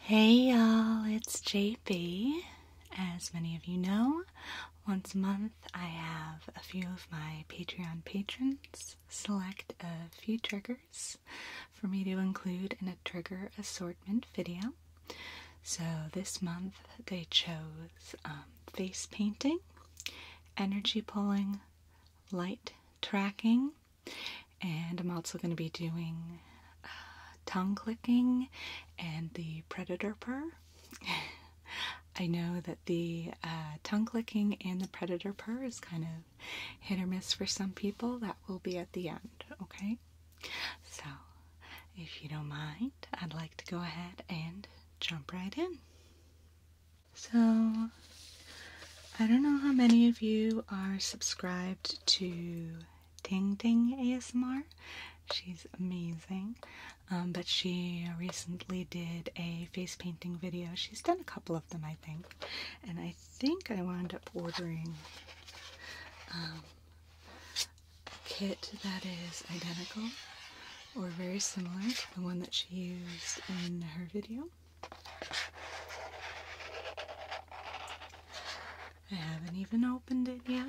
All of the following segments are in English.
Hey y'all, it's JP. As many of you know, once a month I have a few of my Patreon patrons select a few triggers for me to include in a trigger assortment video. So this month they chose um, face painting, energy pulling, light tracking, and I'm also going to be doing uh, tongue clicking and the predator purr. I know that the uh, tongue clicking and the predator purr is kind of hit or miss for some people. That will be at the end, okay? So, if you don't mind, I'd like to go ahead and jump right in. So, I don't know how many of you are subscribed to Ting Ting ASMR. She's amazing. Um, but she recently did a face painting video. She's done a couple of them, I think. And I think I wound up ordering um, kit that is identical or very similar to the one that she used in her video. I haven't even opened it yet.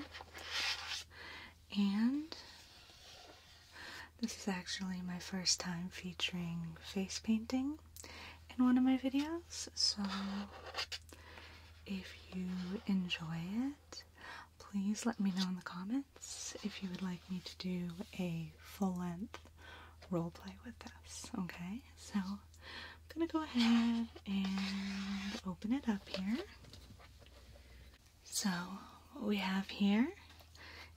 And this is actually my first time featuring face painting in one of my videos, so if you enjoy it, please let me know in the comments if you would like me to do a full length roleplay with this. Okay, so I'm gonna go ahead and open it up here. So, what we have here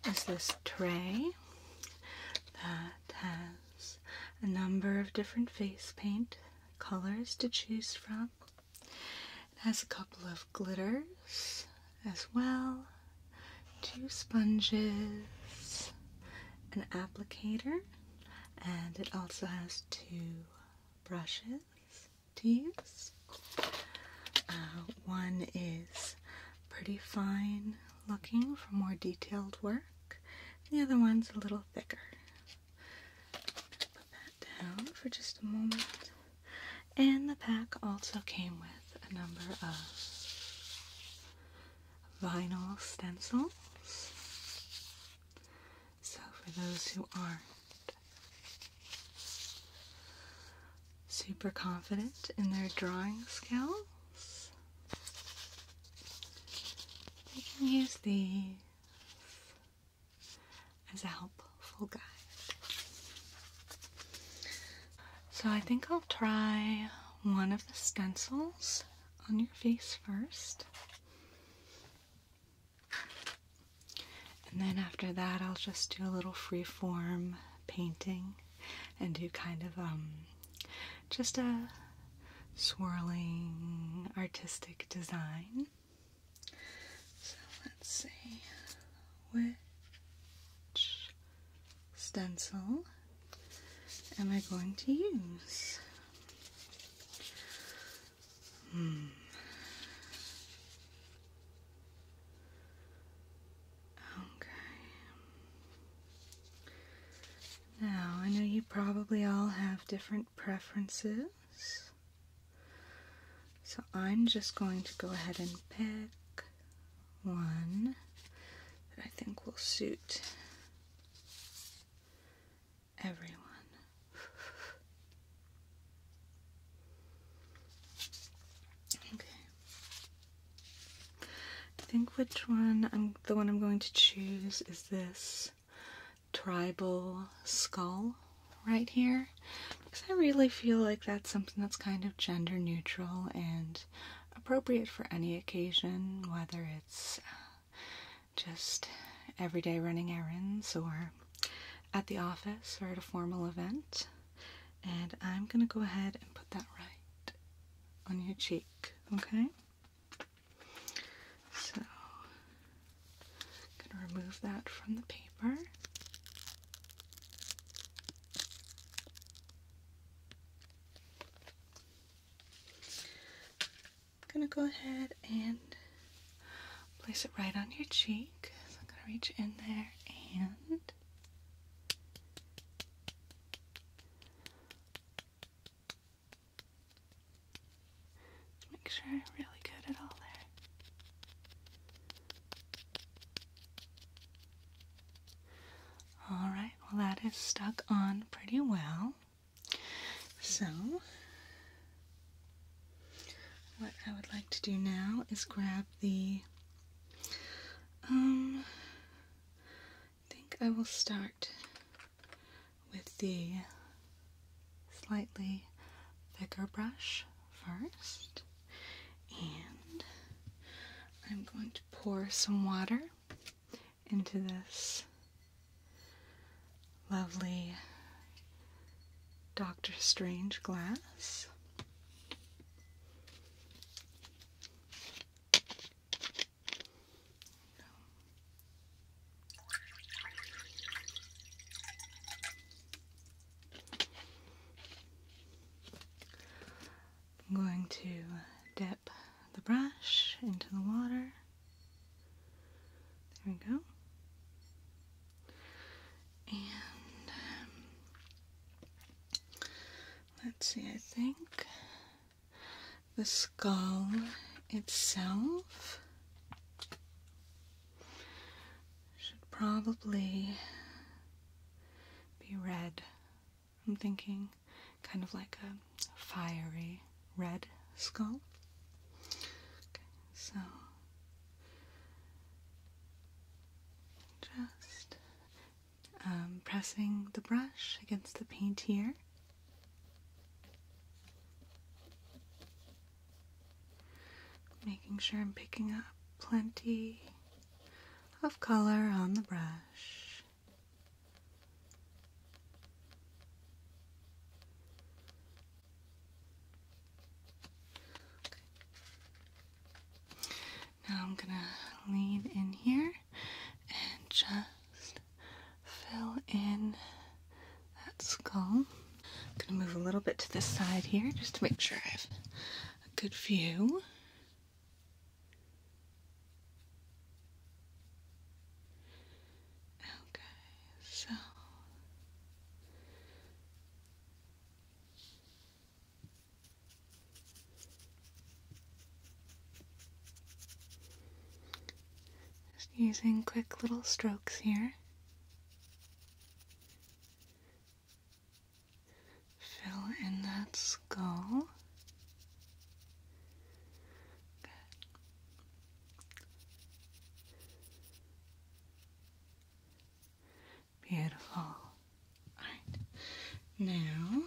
is this tray that has a number of different face paint colors to choose from. It has a couple of glitters as well, two sponges, an applicator, and it also has two brushes to use. Uh, one is pretty fine looking for more detailed work, the other one's a little thicker. Put that down for just a moment. And the pack also came with a number of vinyl stencils. So, for those who aren't super confident in their drawing skills, they can use these as a helpful guide. So I think I'll try one of the stencils on your face first. And then after that, I'll just do a little freeform painting and do kind of um, just a swirling artistic design. So let's see which stencil am I going to use? Hmm. Okay. Now, I know you probably all have different preferences. So I'm just going to go ahead and pick one that I think will suit everyone. Okay. I think which one I'm the one I'm going to choose is this tribal skull right here because I really feel like that's something that's kind of gender neutral and appropriate for any occasion, whether it's uh, just everyday running errands or at the office or at a formal event. And I'm going to go ahead and put that right on your cheek, okay? So I'm going to remove that from the paper. I'm going to go ahead and place it right on your cheek. I'm going to reach in there and Make sure I'm really good at all there. Alright, well, that is stuck on pretty well. So, what I would like to do now is grab the. Um, I think I will start with the slightly thicker brush first and I'm going to pour some water into this lovely Doctor Strange glass. I'm going to dip the brush into the water. There we go. And um, let's see, I think the skull itself should probably be red. I'm thinking kind of like a fiery red skull. so just um, pressing the brush against the paint here. Making sure I'm picking up plenty of color on the brush. Now I'm going to lean in here and just fill in that skull. I'm going to move a little bit to this side here just to make sure I have a good view. Okay, so. Just using quick little strokes here. Fill in that skull. Good. Beautiful. Alright. Now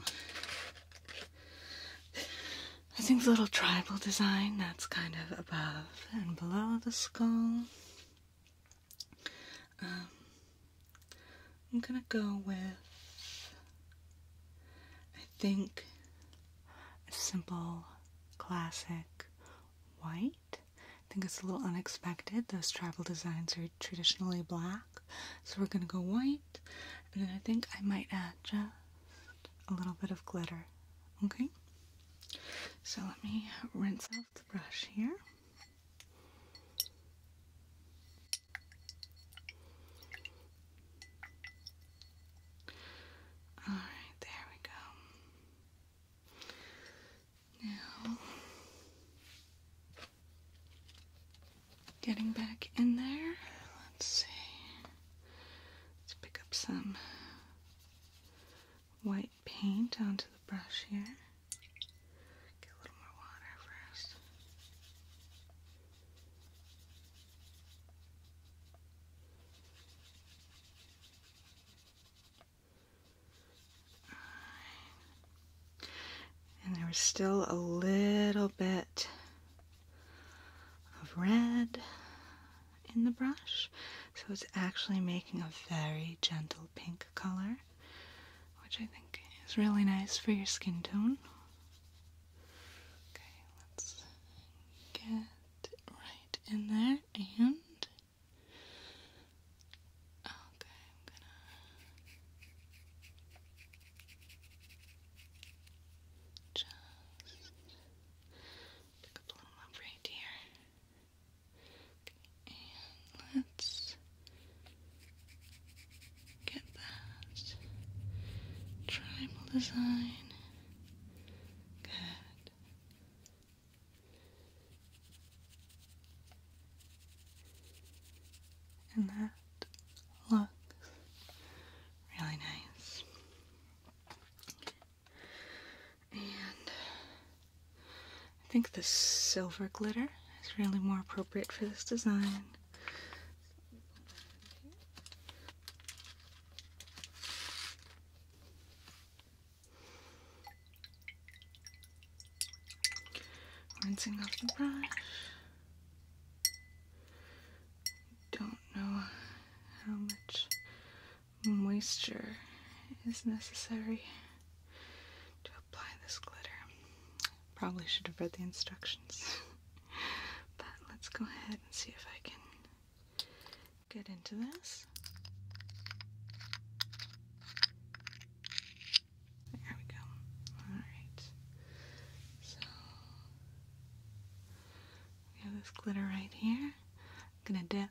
I think a little tribal design that's kind of above and below the skull. Um, I'm gonna go with, I think, a simple classic white. I think it's a little unexpected. Those tribal designs are traditionally black, so we're gonna go white. And then I think I might add just a little bit of glitter. Okay? So let me rinse off the brush here. All right, there we go. Now, getting back in there, let's see. Let's pick up some white paint onto the brush here. Get a little more water first. And there was still a little bit of red in the brush, so it's actually making a very gentle pink color, which I think is really nice for your skin tone. Okay, let's get right in there and. Okay, I'm gonna. Just a little more right here. And let's get that tribal design. Good. And that looks really nice. And I think the silver glitter is really more appropriate for this design. Rinsing off the brush. Don't know how much moisture is necessary to apply this glitter. Probably should have read the instructions. but let's go ahead and see if I can get into this. There we go. Alright. So, we have this glitter right here. I'm gonna dip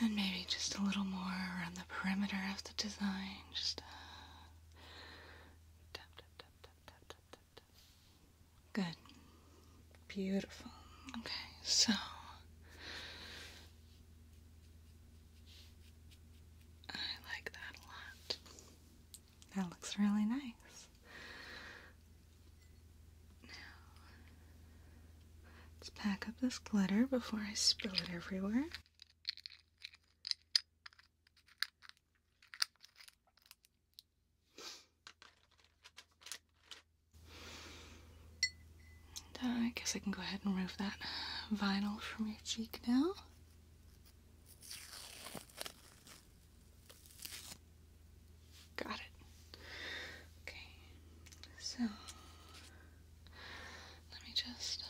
And then maybe just a little more around the perimeter of the design. Just uh, Good. Beautiful. Okay, so. I like that a lot. That looks really nice let's pack up this glitter before I spill it everywhere. Uh, I guess I can go ahead and remove that vinyl from your cheek now. Got it. Okay, so let me just.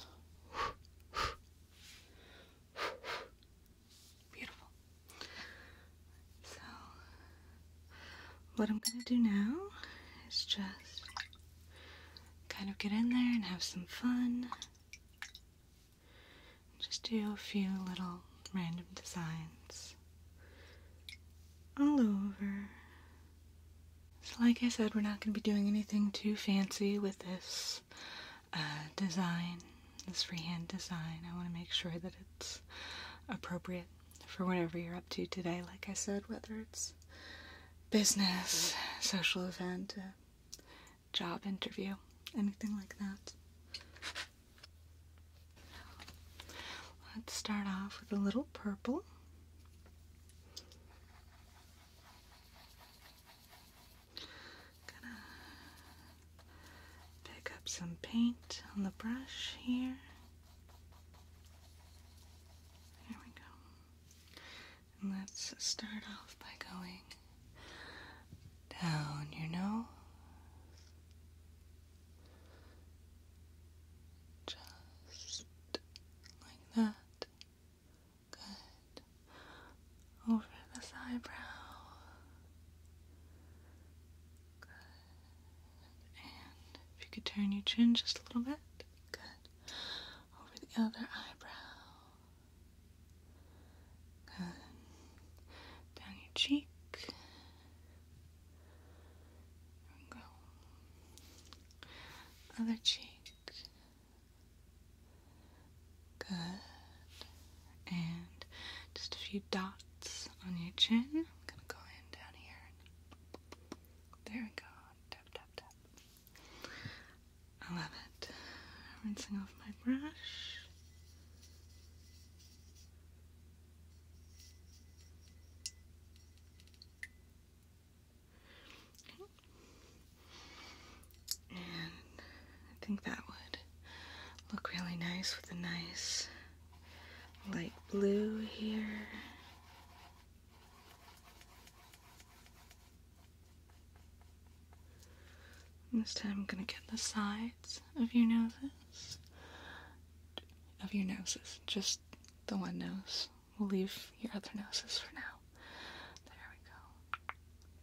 Beautiful. So, what I'm gonna do now is just kind of get in there and have some fun. Just do a few little random designs all over so like I said, we're not going to be doing anything too fancy with this uh, design, this freehand design. I want to make sure that it's appropriate for whatever you're up to today. Like I said, whether it's business, social event, job interview, anything like that. Let's start off with a little purple. Gonna pick up some paint on the brush here. There we go. And let's start off by going down your nose just like that. Good. Over this eyebrow. Good. And if you could turn your chin just a little bit. Good. Over the other eyebrow. Good. Down your cheek. There we go. Other cheek. Good. And just a few dots on your chin. I'm gonna go in down here. There we go. Tap, tap, tap. I love it. Rinsing off my brush. And I think that would look really nice with a nice light blue here. this time I'm gonna get the sides of your noses. Of your noses, just the one nose. We'll leave your other noses for now. There we go.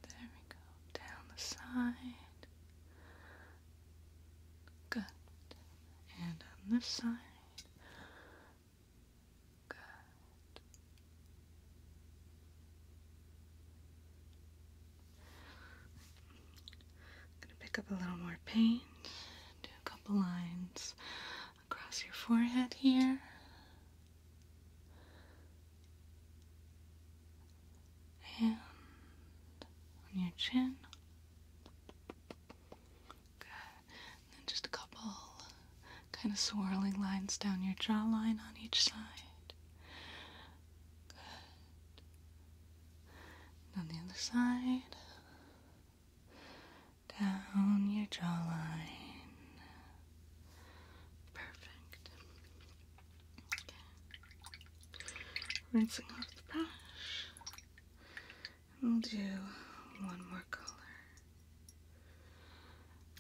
There we go. Down the side. Good. And on the side. Good. going to pick up a little more paint do a couple lines across your forehead here. And on your chin. Good. And then just a couple kind of swirling lines down your jawline on each side. Good. on the other side down your jawline. Perfect. Rinsing off the brush. We'll do one more color.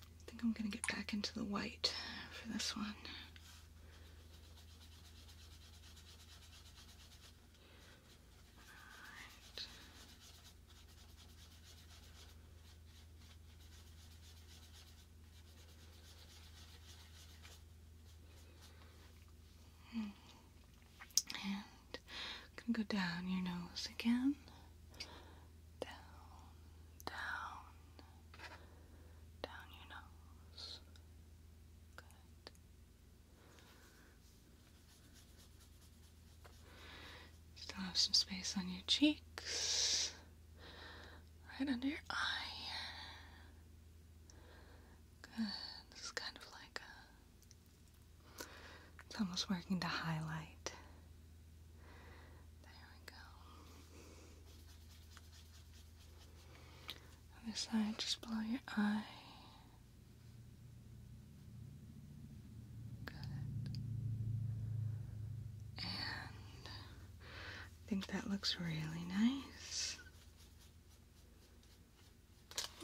I think I'm going to get back into the white for this one. Alright. And i go down your nose again. Down, down, down your nose. Good. Still have some space on your cheeks, right under your eye Good. This is kind of like It's almost working to highlight. There we go. Other side, just below your eye. And I think that looks really nice.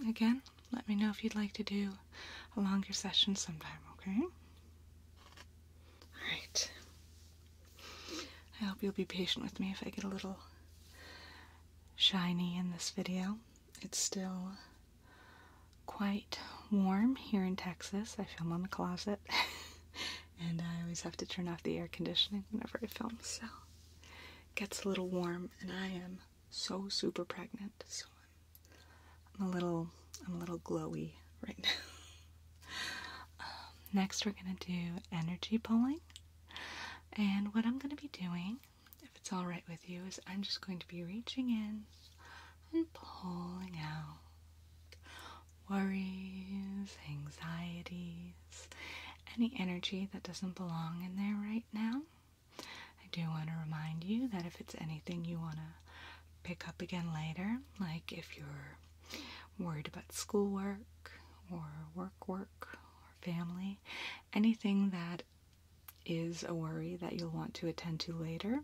Again, let me know if you'd like to do a longer session sometime, okay? Alright. I hope you'll be patient with me if I get a little shiny in this video. It's still quite warm here in Texas. I film on the closet and I always have to turn off the air conditioning whenever I film, so it gets a little warm and I am so super pregnant, so I'm, a little I'm a little glowy right now. Um, next we're gonna do energy pulling. And what I'm going to be doing if it's alright with you, is I'm just going to be reaching in and pulling out worries, anxieties, any energy that doesn't belong in there right now. I do want to remind you that if it's anything you want to pick up again later, like if you're worried about schoolwork or work work or family, anything that is a worry that you'll want to attend to later,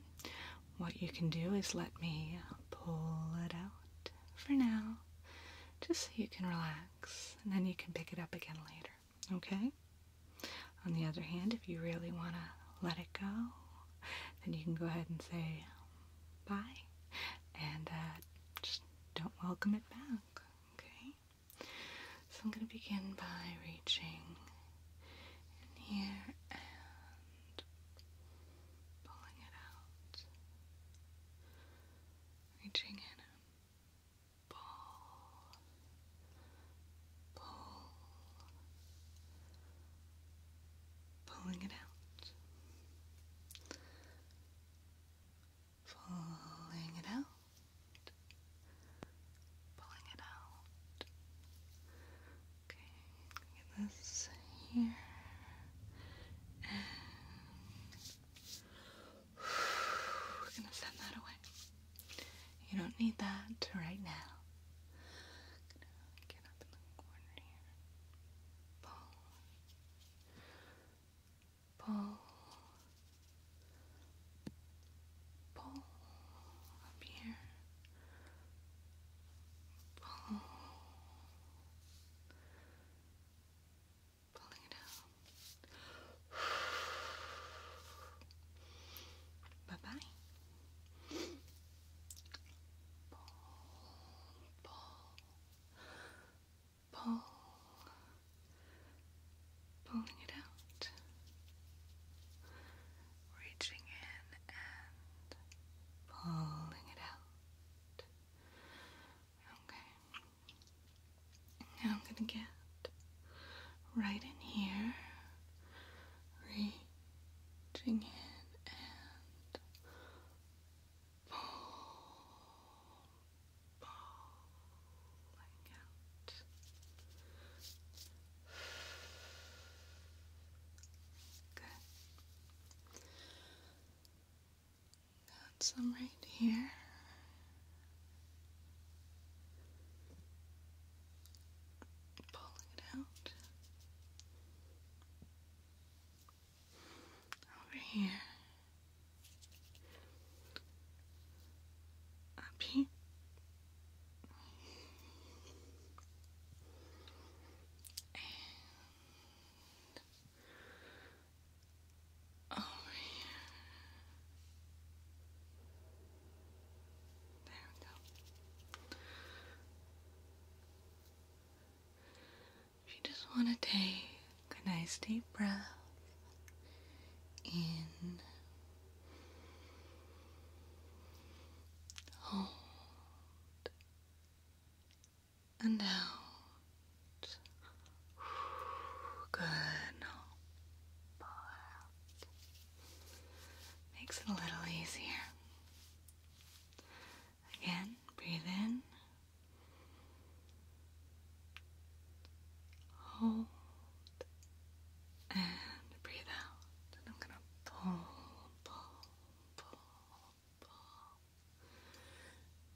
what you can do is let me pull it out for now, just so you can relax, and then you can pick it up again later, okay? On the other hand, if you really want to let it go, then you can go ahead and say bye and uh, just don't welcome it back, okay? So I'm going to begin by reaching in here and pulling it out. Reaching in pull, pull, pulling it out, pulling it out pulling it out. Okay, this here we're gonna send that away. You don't need that right now. get up in the corner here. Pull. Pull. Pull up here. Pull. Pulling it out. bye bye. Pull, pull, pull, pulling it out, reaching in and pulling it out. Okay, now I'm going to get right in here, reaching in and pull, pull, out. Good. Got some right here. Pulling it out. Over here. Up here. And There we go. If you just want to take a nice deep breath in Hold and out. Good. Makes it a little easier. Again, breathe in. Hold and breathe out. I'm gonna pull, pull, pull, pull.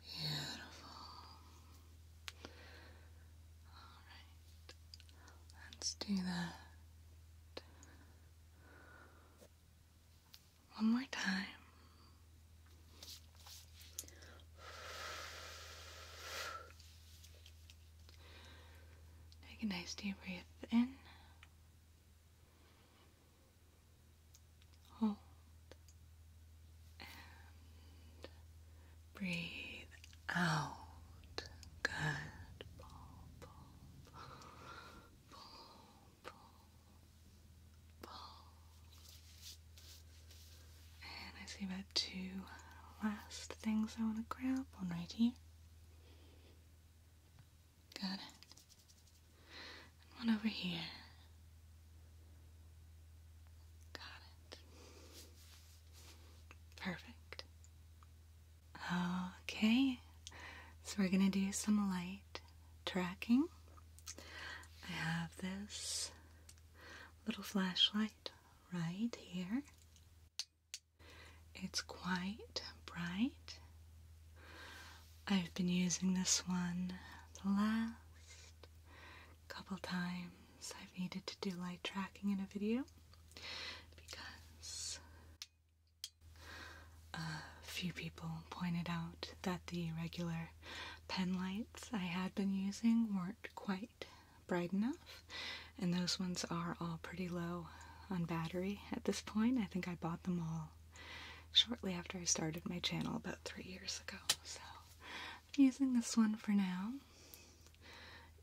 Beautiful. Alright. Let's do that. One more time. Take a nice deep breath in. Hold and breathe out. Good. And I see about two last things I want to grab. on, right here. Got it. And one over here. Got it. Perfect. Okay, so we're gonna do some light tracking. I have this little flashlight right here. It's quite bright. I've been using this one the last couple times I've needed to do light tracking in a video because a few people pointed out that the regular pen lights I had been using were not quite bright enough, and those ones are all pretty low on battery at this point. I think I bought them all shortly after I started my channel about three years ago, so I'm using this one for now.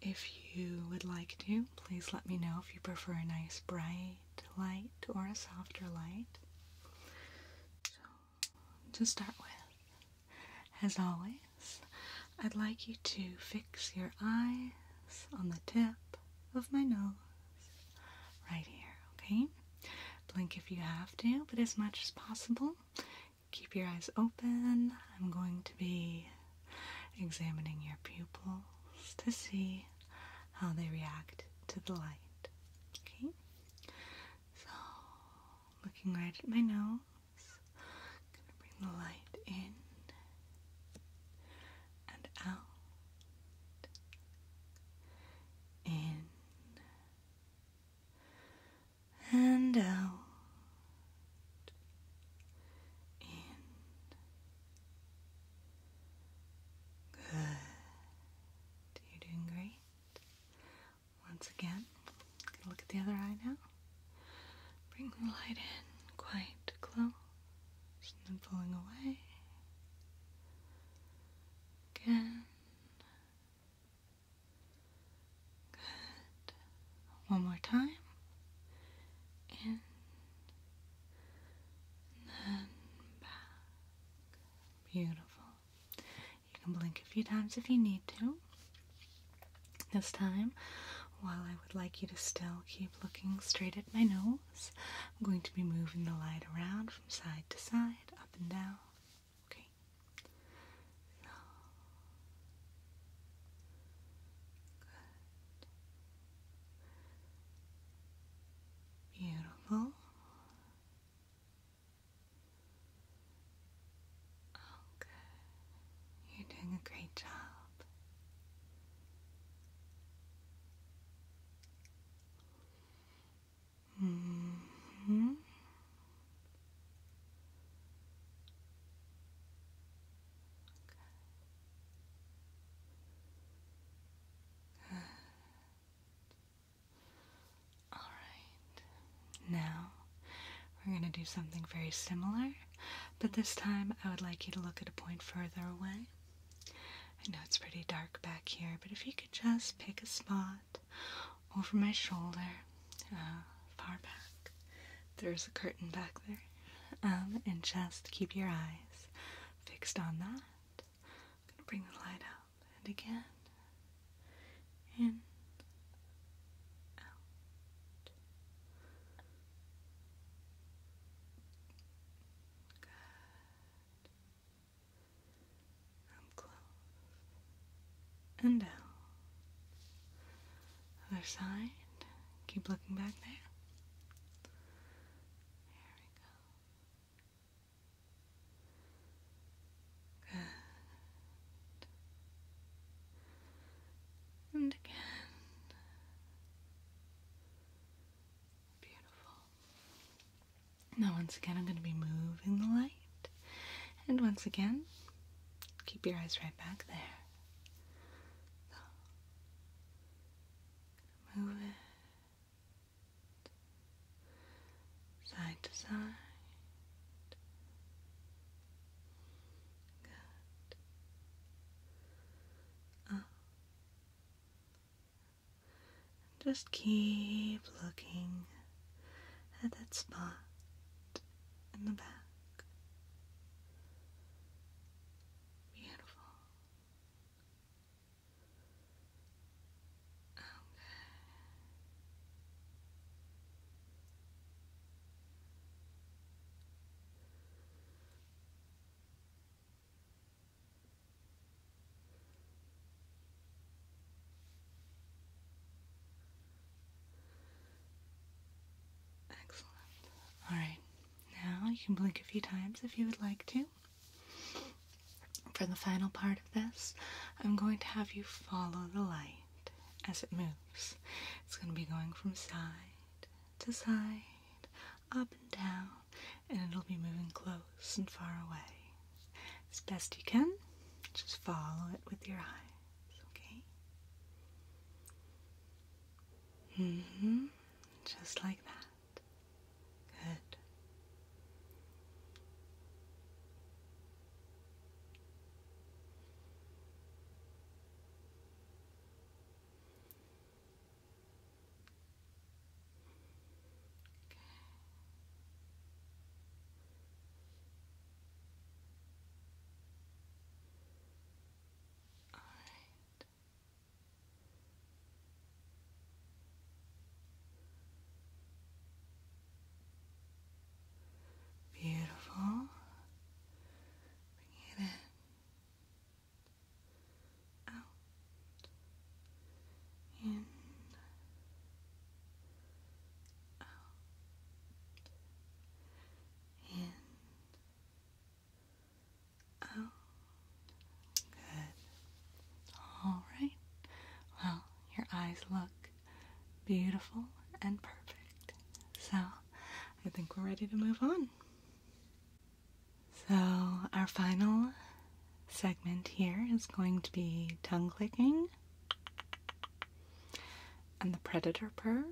If you would like to, please let me know if you prefer a nice bright light or a softer light. So, to start with, as always, I'd like you to fix your eyes on the tip of my nose right here, okay? Blink if you have to, but as much as possible. Keep your eyes open. I'm going to be examining your pupils to see how they react to the light. Okay? So, looking right at my nose. Gonna bring the light in and out, in and out. In. Good. You're doing great. Once again, look at the other eye now. Bring the light in quite close and then pulling away. Again. Good. One more time. In. And then back. Beautiful. You can blink a few times if you need to. This time, while I would like you to still keep looking straight at my nose, I'm going to be moving the light around from side to side, up and down. Okay? Beautiful. Oh, you're doing a great job. -hmm. All right. Now we're going to do something very similar, but this time I would like you to look at a point further away. I know it's pretty dark back here, but if you could just pick a spot over my shoulder, uh, far back, there's a curtain back there, um, and just keep your eyes fixed on that. I'm going to bring the light up, and again, in, out, Good. And down. Other side. Keep looking back there. There we go. Good. And again. Beautiful. Now, once again, I'm going to be moving the light. And once again, keep your eyes right back there. move it side to side. Ah. Just keep looking at that spot in the back. Beautiful. Okay. Excellent. Alright, now you can blink a few times if you would like to. For the final part of this, I'm going to have you follow the light as it moves. It's going to be going from side to side up and down, and it'll be moving close and far away. As best you can, just follow it with your eyes, okay? Mm hmm Just like that. Good. All right. Beautiful. Bring it in out in out in out good all right well your eyes look beautiful and perfect so I think we're ready to move on so, our final segment here is going to be tongue clicking and the predator purr.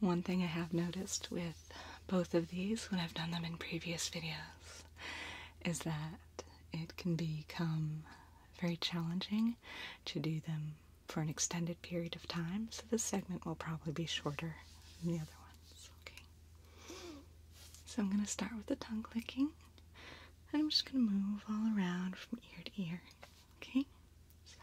One thing I have noticed with both of these when I've done them in previous videos is that it can become very challenging to do them for an extended period of time, so this segment will probably be shorter than the other ones. Okay. So I'm going to start with the tongue clicking, and I'm just going to move all around from ear to ear. Okay? So.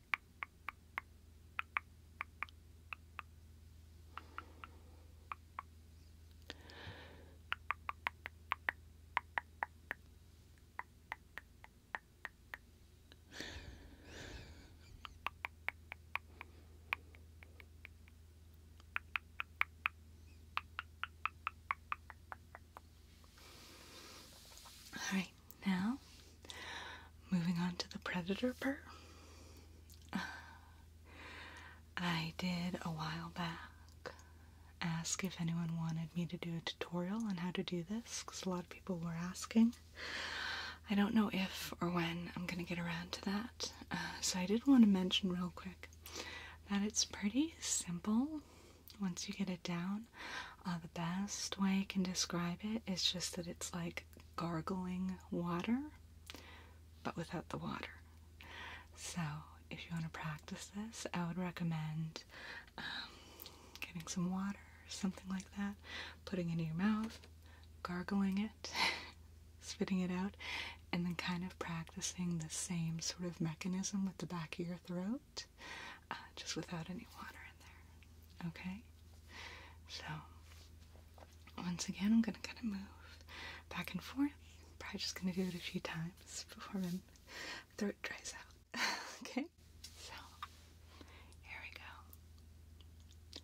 All right, now Moving on to the predator purr. Uh, I did a while back ask if anyone wanted me to do a tutorial on how to do this because a lot of people were asking. I don't know if or when I'm going to get around to that. Uh, so I did want to mention real quick that it's pretty simple once you get it down. Uh, the best way I can describe it is just that it's like gargling water, but without the water. So, if you want to practice this, I would recommend um, getting some water, something like that, putting it in your mouth, gargling it, spitting it out, and then kind of practicing the same sort of mechanism with the back of your throat, uh, just without any water in there. Okay? So, once again, I'm gonna kind of move back and forth. Probably just gonna do it a few times before my throat dries out. okay, so here we go.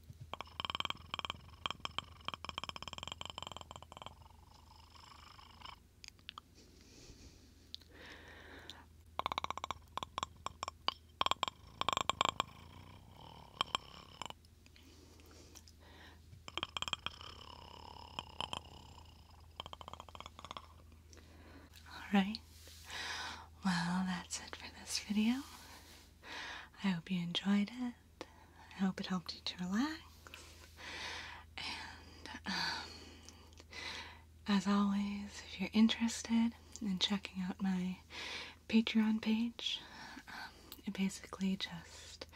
All right. Well, that's it for this video. I hope you enjoyed it I hope it helped you to relax. And um, as always, if you're interested in checking out my Patreon page, um, it basically just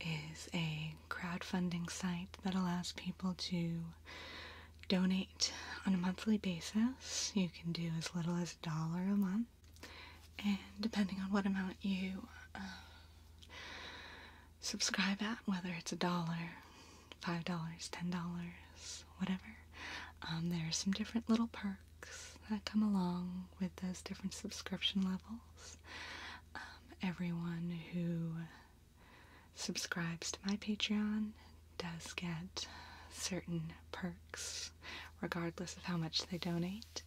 is a crowdfunding site that allows people to donate on a monthly basis. You can do as little as a dollar a month and depending on what amount you uh, subscribe at, whether it's a dollar, five dollars, ten dollars, whatever, um, there are some different little perks that come along with those different subscription levels. Um, everyone who subscribes to my Patreon does get certain perks regardless of how much they donate.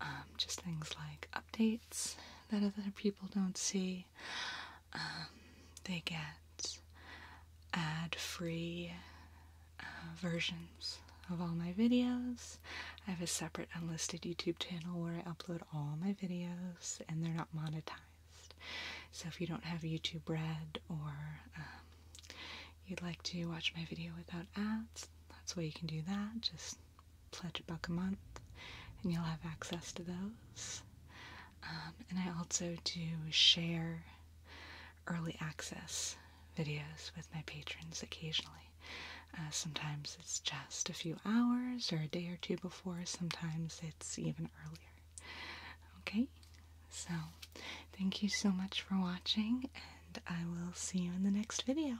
Um, just things like updates that other people don't see. Um, they get ad free uh, versions of all my videos. I have a separate unlisted YouTube channel where I upload all my videos and they're not monetized. So if you don't have YouTube Red or um, you'd like to watch my video without ads, that's why you can do that. Just pledge a buck a month and you'll have access to those. Um, and I also do share early access videos with my patrons occasionally. Uh, sometimes it's just a few hours or a day or two before, sometimes it's even earlier. Okay, so thank you so much for watching and I will see you in the next video.